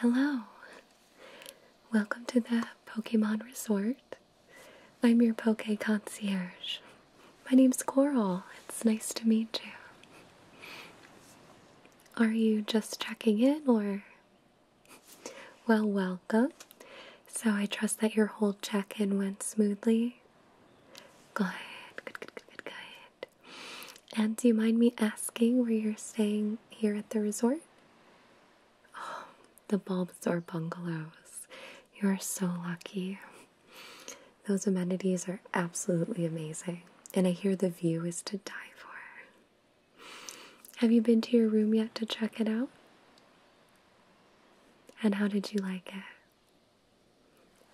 Hello. Welcome to the Pokemon Resort. I'm your Poke Concierge. My name's Coral. It's nice to meet you. Are you just checking in or well, welcome. So I trust that your whole check in went smoothly. Good, good, good, good, good, And do you mind me asking where you're staying here at the resort? Oh, the Bulbasaur bungalows. You are so lucky. Those amenities are absolutely amazing, and I hear the view is to die for. Have you been to your room yet to check it out? And how did you like it?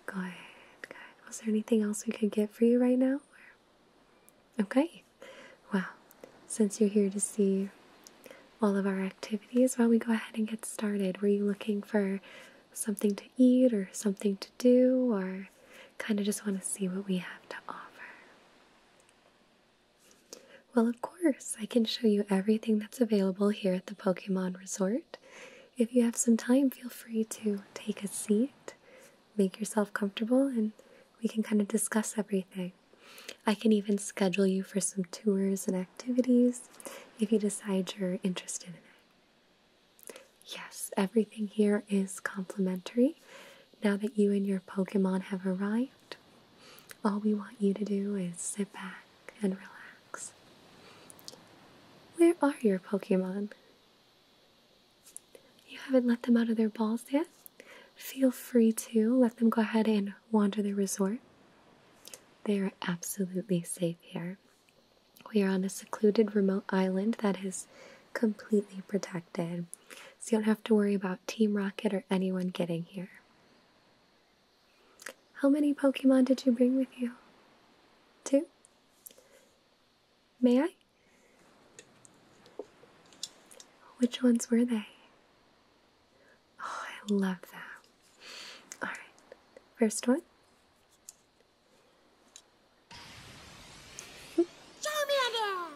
Good, good. Was there anything else we could get for you right now? Okay. Well, since you're here to see all of our activities, why don't we go ahead and get started? Were you looking for something to eat or something to do, or kind of just want to see what we have to offer? Well, of course, I can show you everything that's available here at the Pokemon Resort. If you have some time, feel free to take a seat, make yourself comfortable, and we can kind of discuss everything. I can even schedule you for some tours and activities if you decide you're interested in it. Yes, everything here is complimentary. Now that you and your Pokemon have arrived, all we want you to do is sit back and relax. Where are your Pokemon? You haven't let them out of their balls yet? Feel free to let them go ahead and wander the resort. They are absolutely safe here. We are on a secluded remote island that is completely protected so you don't have to worry about Team Rocket or anyone getting here. How many Pokemon did you bring with you? Two? May I? Which ones were they? Oh, I love that. Alright, first one. Charmander!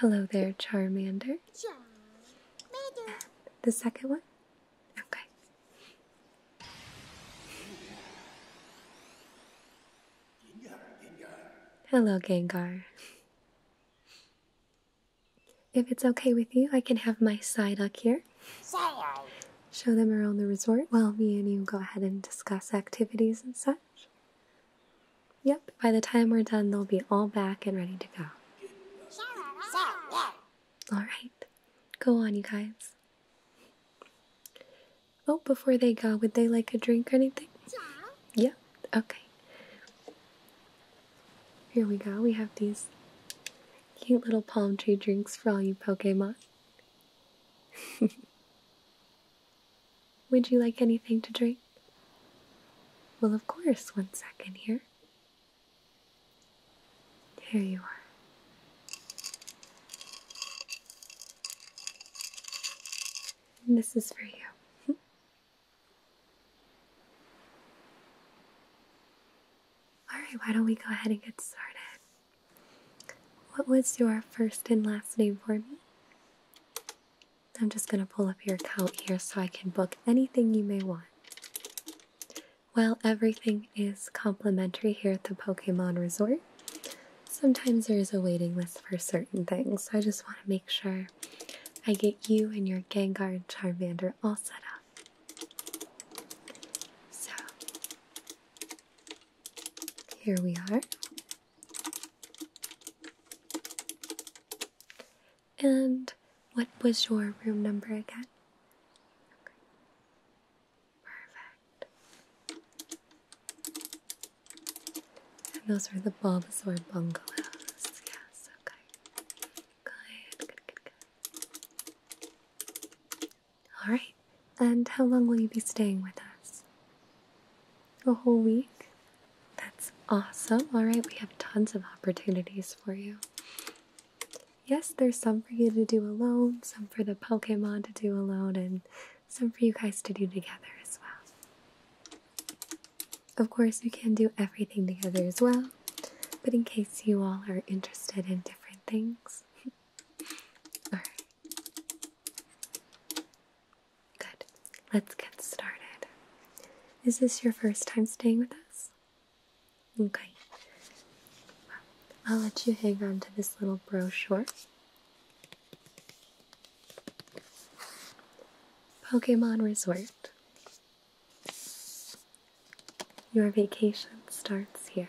Hello there, Charmander. Charmander. The second one? Okay. Hello, Gengar. If it's okay with you, I can have my Psyduck here. Show them around the resort while me and you go ahead and discuss activities and such. Yep, by the time we're done, they'll be all back and ready to go. Alright, go on, you guys. Oh, before they go, would they like a drink or anything? Yep, yeah? okay. Here we go, we have these cute little palm tree drinks for all you Pokemon. Would you like anything to drink? Well, of course, one second here. Here you are. this is for you. Alright, why don't we go ahead and get started? What was your first and last name for me? I'm just going to pull up your account here so I can book anything you may want. Well, everything is complimentary here at the Pokemon Resort. Sometimes there is a waiting list for certain things, so I just want to make sure I get you and your Gengar and Charmander all set up. So, here we are. And what was your room number again? Perfect. And those are the Bulbasaur bungalows. Yes, okay. Good, good, good, good. All right. And how long will you be staying with us? A whole week? That's awesome. All right, we have tons of opportunities for you. Yes, there's some for you to do alone, some for the Pokemon to do alone, and some for you guys to do together as well. Of course, you can do everything together as well, but in case you all are interested in different things, All right. Good. Let's get started. Is this your first time staying with us? Okay. I'll let you hang on to this little brochure. Pokemon Resort. Your vacation starts here.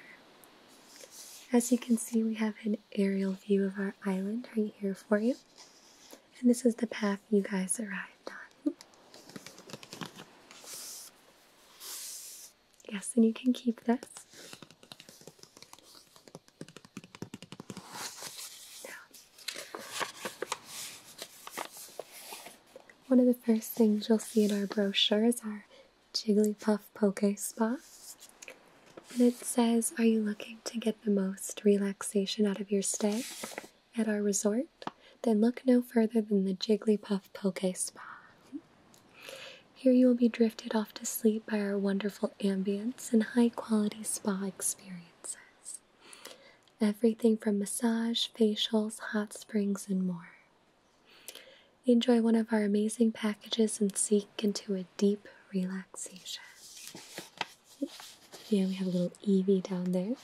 As you can see, we have an aerial view of our island right here for you. And this is the path you guys arrived on. Yes, and you can keep this. one of the first things you'll see in our brochure is our Jigglypuff Poke Spa. And it says, Are you looking to get the most relaxation out of your stay at our resort? Then look no further than the Jigglypuff Poke Spa. Here you will be drifted off to sleep by our wonderful ambience and high quality spa experiences. Everything from massage, facials, hot springs, and more. Enjoy one of our amazing packages and sink into a deep relaxation. Yeah, we have a little Evie down there.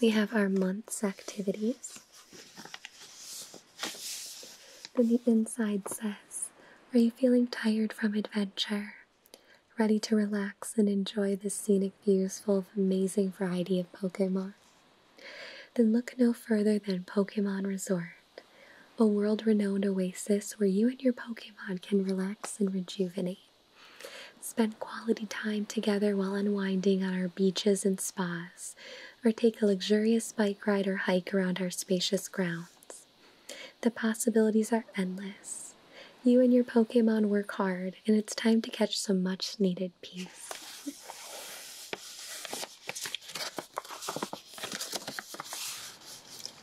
We have our month's activities. Then the inside says, Are you feeling tired from adventure? Ready to relax and enjoy the scenic views full of amazing variety of Pokemon? Then look no further than Pokemon Resort, a world renowned oasis where you and your Pokemon can relax and rejuvenate. Spend quality time together while unwinding on our beaches and spas, or take a luxurious bike ride or hike around our spacious grounds. The possibilities are endless. You and your Pokemon work hard, and it's time to catch some much needed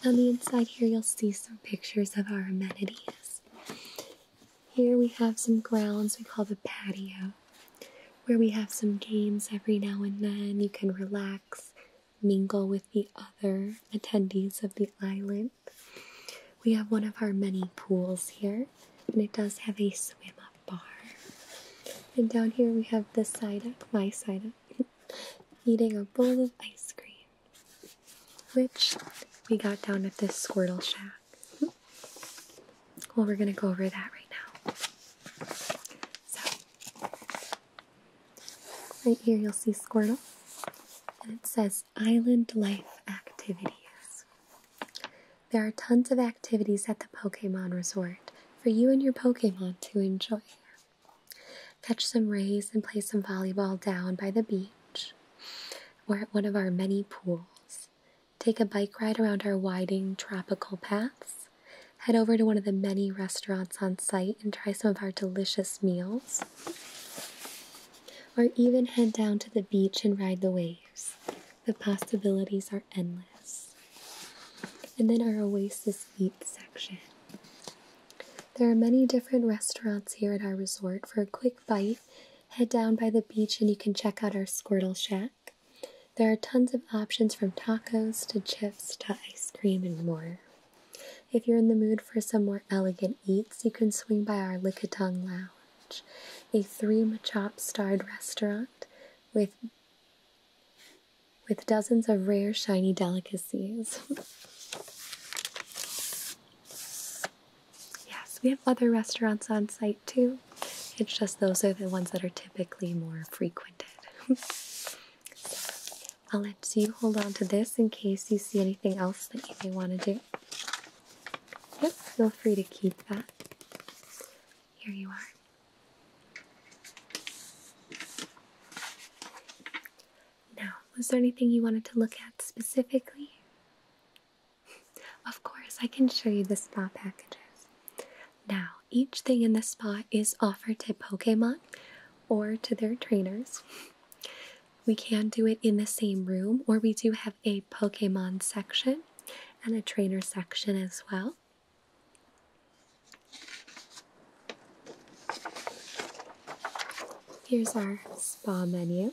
on the inside here, you'll see some pictures of our amenities. Here we have some grounds we call the patio, where we have some games every now and then. You can relax, mingle with the other attendees of the island. We have one of our many pools here and it does have a swim up bar. And down here we have the side up, my side up, eating a bowl of ice cream, which we got down at this Squirtle Shack. Well, we're gonna go over that right now. So, right here you'll see Squirtle, and it says Island Life Activities. There are tons of activities at the Pokemon Resort for you and your Pokemon to enjoy. Catch some rays and play some volleyball down by the beach or at one of our many pools. Take a bike ride around our winding tropical paths. Head over to one of the many restaurants on site and try some of our delicious meals. Or even head down to the beach and ride the waves. The possibilities are endless. And then our Oasis Eat section. There are many different restaurants here at our resort. For a quick bite, head down by the beach and you can check out our Squirtle Shack. There are tons of options from tacos to chips to ice cream and more. If you're in the mood for some more elegant eats, you can swing by our Lickitung Lounge a three Machop starred restaurant with with dozens of rare shiny delicacies. yes, we have other restaurants on site too. It's just those are the ones that are typically more frequented. I'll let you hold on to this in case you see anything else that you may want to do. Yep, feel free to keep that. Here you are. Now, was there anything you wanted to look at specifically? of course, I can show you the spot packages. Now, each thing in the spot is offered to Pokemon or to their trainers. We can do it in the same room, or we do have a Pokemon section and a trainer section as well. Here's our spa menu.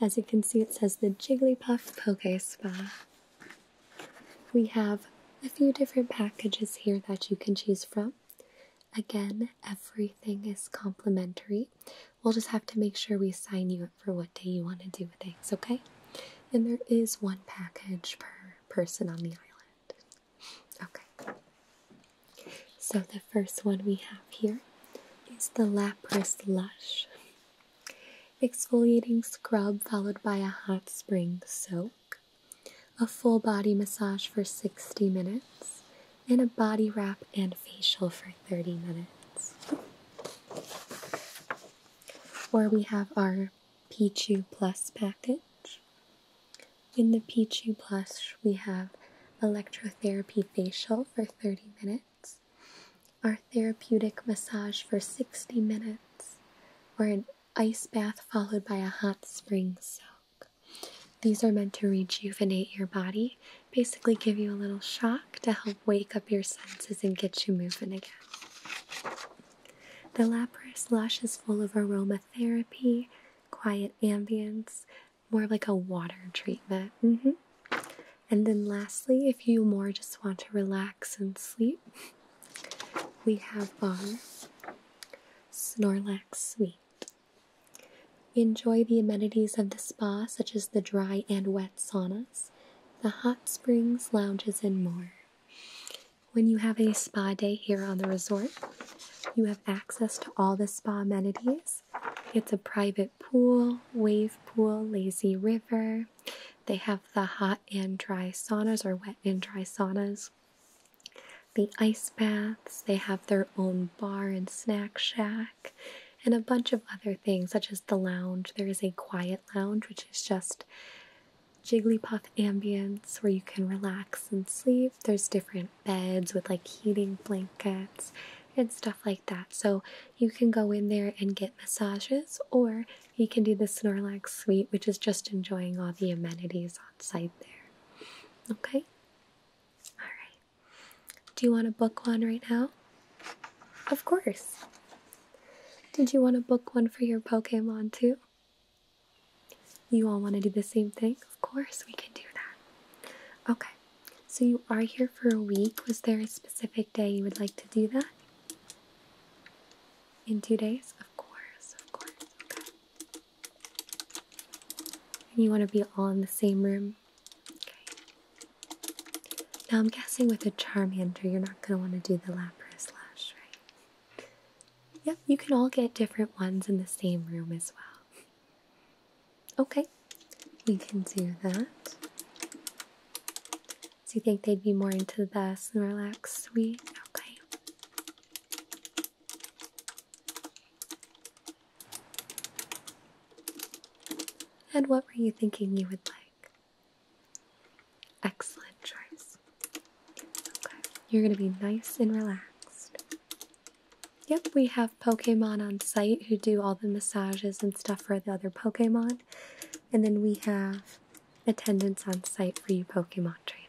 As you can see, it says the Jigglypuff Poke Spa. We have a few different packages here that you can choose from. Again, everything is complimentary. We'll just have to make sure we sign you up for what day you want to do things, okay? And there is one package per person on the island. Okay. So the first one we have here is the Lapras Lush exfoliating scrub followed by a hot spring soak, a full body massage for 60 minutes, and a body wrap and facial for 30 minutes. Where we have our Pichu Plus package. In the Pichu Plus, we have electrotherapy facial for 30 minutes, our therapeutic massage for 60 minutes, or an ice bath followed by a hot spring soak. These are meant to rejuvenate your body basically give you a little shock to help wake up your senses and get you moving again. The Lapras Lush is full of aromatherapy, quiet ambience, more like a water treatment. Mm-hmm. And then, lastly, if you more just want to relax and sleep, we have our Snorlax Sweet. We enjoy the amenities of the spa, such as the dry and wet saunas, the hot springs, lounges, and more. When you have a spa day here on the resort, you have access to all the spa amenities. It's a private pool, wave pool, lazy river. They have the hot and dry saunas or wet and dry saunas, the ice baths. They have their own bar and snack shack and a bunch of other things, such as the lounge. There is a quiet lounge, which is just Jigglypuff ambience where you can relax and sleep. There's different beds with like heating blankets and stuff like that. So you can go in there and get massages, or you can do the Snorlax suite, which is just enjoying all the amenities on site there. Okay? All right. Do you want to book one right now? Of course. Did you want to book one for your Pokemon too? You all want to do the same thing? Of course, we can do that. Okay, so you are here for a week. Was there a specific day you would like to do that? In two days? Of course, of course. Okay. And you want to be all in the same room? Now I'm guessing with a Charmander, you're not going to want to do the Lapras lash, right? Yep, you can all get different ones in the same room as well. Okay, we can do that. Do you think they'd be more into the relax, suite? Okay. And what were you thinking you would like? Excellent choice. you're gonna be nice and relaxed. Yep, we have Pokemon on site who do all the massages and stuff for the other Pokemon. And then we have attendants on site for you Pokemon trainers.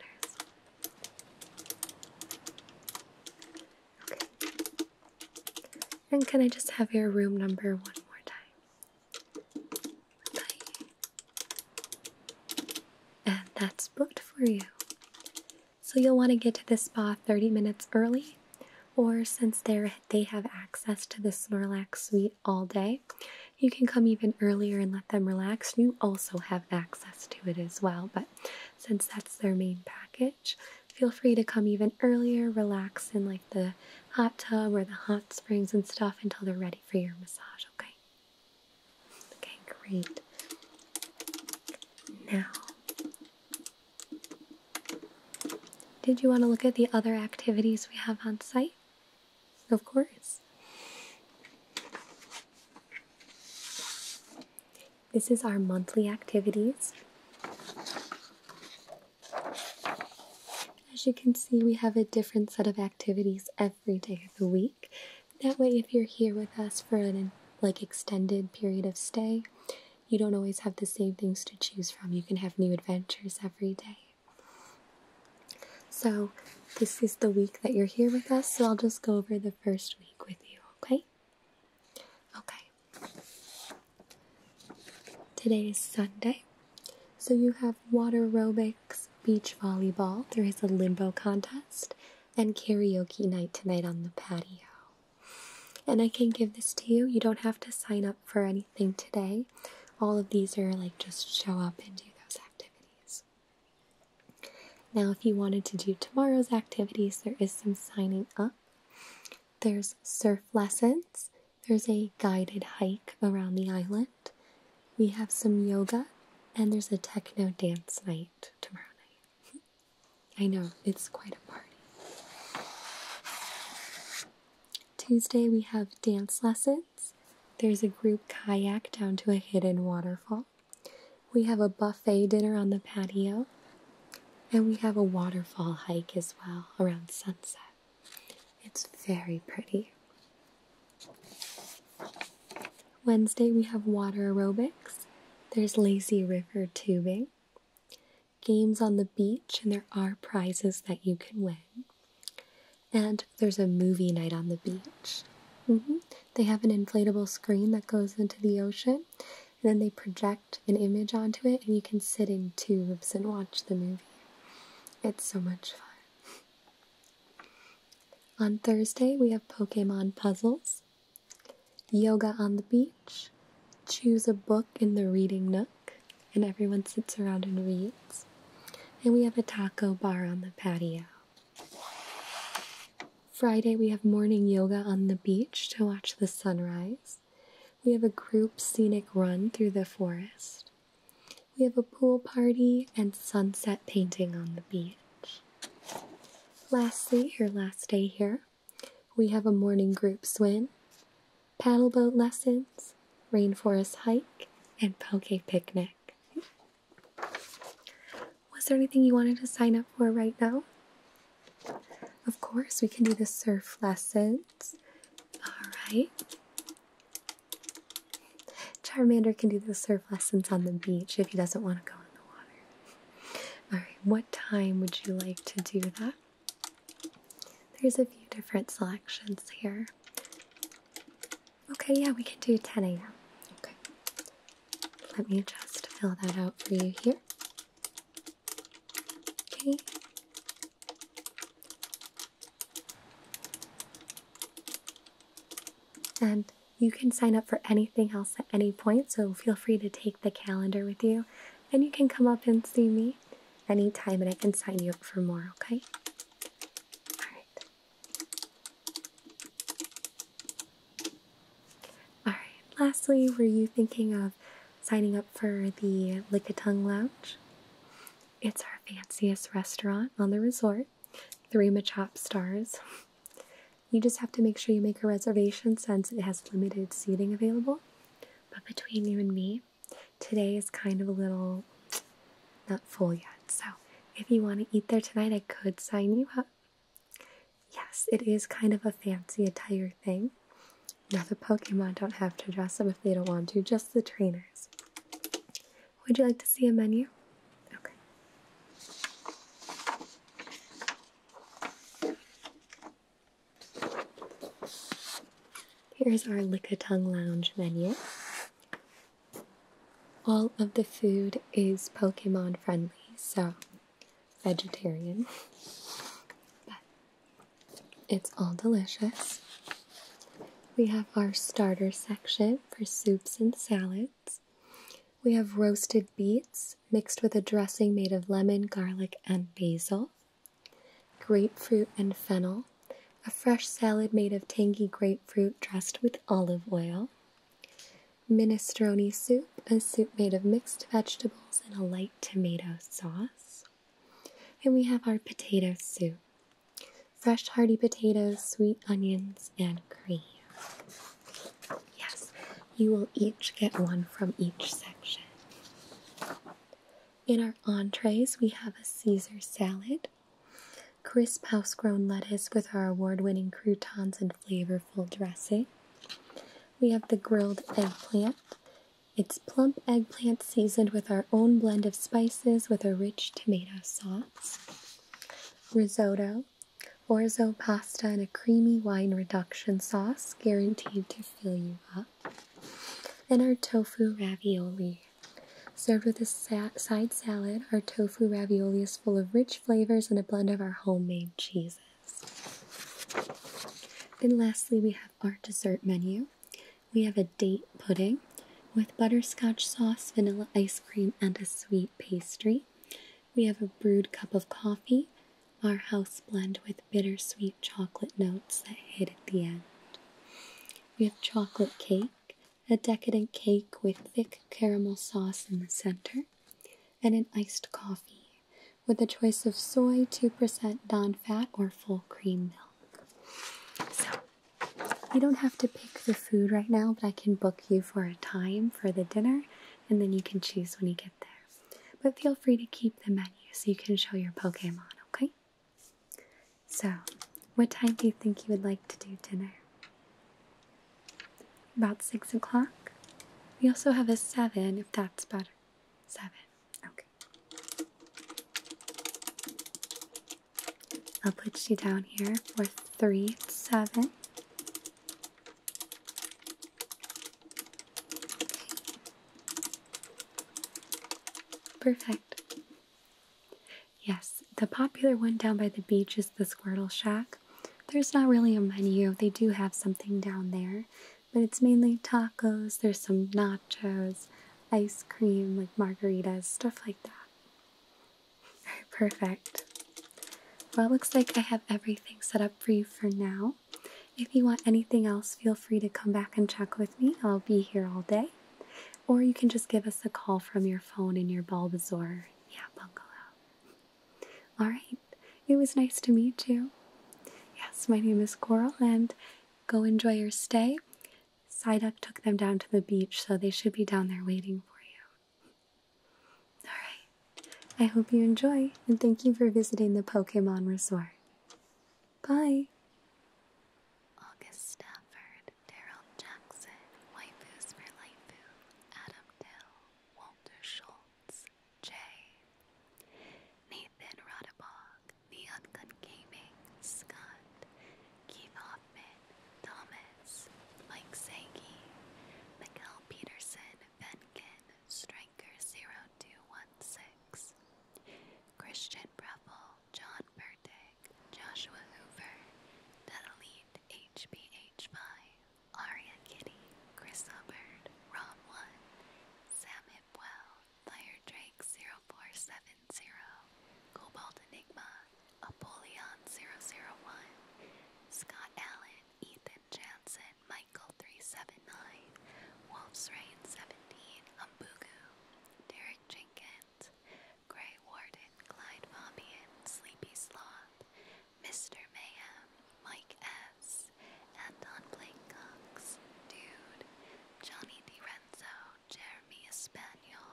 And can I just have your room number one more time? Bye. And that's booked for you. So you'll want to get to the spa 30 minutes early, or since they they have access to the Snorlax suite all day, you can come even earlier and let them relax. You also have access to it as well, but since that's their main package, Feel free to come even earlier, relax in like the hot tub or the hot springs and stuff until they're ready for your massage, okay? Okay, great. Now, did you want to look at the other activities we have on site? Of course. This is our monthly activities. As you can see, we have a different set of activities every day of the week. That way, if you're here with us for an like extended period of stay, you don't always have the same things to choose from. You can have new adventures every day. So, this is the week that you're here with us, so I'll just go over the first week with you, okay? Okay. Today is Sunday. So you have water aerobics, beach volleyball, there is a limbo contest, and karaoke night tonight on the patio. And I can give this to you. You don't have to sign up for anything today. All of these are like just show up and do those activities. Now, if you wanted to do tomorrow's activities, there is some signing up. There's surf lessons. There's a guided hike around the island. We have some yoga, and there's a techno dance night tomorrow night. I know, it's quite a party. Tuesday, we have dance lessons. There's a group kayak down to a hidden waterfall. We have a buffet dinner on the patio. And we have a waterfall hike as well around sunset. It's very pretty. Wednesday, we have water aerobics. There's lazy river tubing, games on the beach, and there are prizes that you can win. And there's a movie night on the beach. Mm-hmm. They have an inflatable screen that goes into the ocean, and then they project an image onto it, and you can sit in tubes and watch the movie. It's so much fun. On Thursday, we have Pokemon puzzles, yoga on the beach, choose a book in the reading nook, and everyone sits around and reads. And we have a taco bar on the patio. Friday, we have morning yoga on the beach to watch the sunrise. We have a group scenic run through the forest. We have a pool party and sunset painting on the beach. Lastly, your last day here, we have a morning group swim, paddleboat lessons, rainforest hike, and poke picnic. Was there anything you wanted to sign up for right now? Of course, we can do the surf lessons. All right. Charmander can do the surf lessons on the beach if he doesn't want to go in the water. All right, what time would you like to do that? There's a few different selections here. Okay, yeah, we can do 10 a.m. Okay. Let me just fill that out for you here. Okay. And you can sign up for anything else at any point, so feel free to take the calendar with you. And you can come up and see me anytime, and I can sign you up for more, okay? All right. All right, lastly, were you thinking of signing up for the Lickitung Lounge? It's our fanciest restaurant on the resort, three Machop stars. You just have to make sure you make a reservation since it has limited seating available. But between you and me, today is kind of a little not full yet. So if you want to eat there tonight, I could sign you up. Yes, it is kind of a fancy attire thing. Now, the Pokemon don't have to dress up if they don't want to, just the trainers. Would you like to see a menu? Okay. Here's our Lickitung Lounge menu. All of the food is Pokemon friendly, so vegetarian. But it's all delicious. We have our starter section for soups and salads. We have roasted beets mixed with a dressing made of lemon, garlic, and basil. Grapefruit and fennel. A fresh salad made of tangy grapefruit dressed with olive oil. Minestrone soup, a soup made of mixed vegetables and a light tomato sauce. And we have our potato soup fresh, hearty potatoes, sweet onions, and cream. Yes, you will each get one from each section. In our entrees, we have a Caesar salad, Crisp house-grown lettuce with our award-winning croutons and flavorful dressing. We have the grilled eggplant. It's plump eggplant seasoned with our own blend of spices with a rich tomato sauce. Risotto, orzo pasta and a creamy wine reduction sauce guaranteed to fill you up. And our tofu ravioli. Served with a side salad, our tofu ravioli is full of rich flavors and a blend of our homemade cheeses. And lastly, we have our dessert menu. We have a date pudding with butterscotch sauce, vanilla ice cream, and a sweet pastry. We have a brewed cup of coffee, our house blend with bittersweet chocolate notes that hit at the end. We have chocolate cake, a decadent cake with thick caramel sauce in the center, and an iced coffee with a choice of soy, 2% non fat, or full cream milk. So, you don't have to pick the food right now, but I can book you for a time for the dinner, and then you can choose when you get there. But feel free to keep the menu so you can show your Pokemon, okay? So, what time do you think you would like to do dinner? About six o'clock. We also have a seven if that's better. Seven. Okay. I'll put you down here for three seven. Perfect. Yes, the popular one down by the beach is the Squirtle Shack. There's not really a menu, they do have something down there, but it's mainly tacos, there's some nachos, ice cream, like margaritas, stuff like that. perfect. Well, looks like I have everything set up for you for now. If you want anything else, feel free to come back and check with me. I'll be here all day or you can just give us a call from your phone in your Bulbasaur, yeah, bungalow. All right, it was nice to meet you. Yes, my name is Coral, and go enjoy your stay. Psyduck took them down to the beach, so they should be down there waiting for you. Alright, I hope you enjoy, and thank you for visiting the Pokemon Resort. Bye! Augusta Fern. Daryl Jackson, Waifus for Laifu, Adam Dill, Walter Schultz, Jay, Nathan Radabog, The Ungun Gaming, Scott, Keith Hoffman, Thomas, Mike Sagi, Michael Peterson, Benkin, Striker0216, Christian Breffel, John Burde, Joshua Hoover, Dadalit hbh Aria Kitty, Chris Hubbard, Ron 1, Sam Hipwell, Fire Drake 0470, Cobalt Enigma, Apollyon 001, Scott Allen, Ethan Jansen, Michael 379, Wolf's Rain 17, Umbugu, Derek Jenkins, Grey Warden, Clyde Bobbian, Sleepy Sloth, Mr. Mayhem, Mike S., Anton Blake Dude, Johnny DiRenzo, Jeremy Espanol,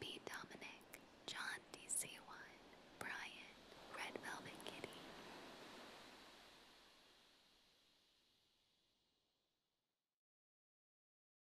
B. Dominic, John DC1, Brian, Red Velvet Kitty.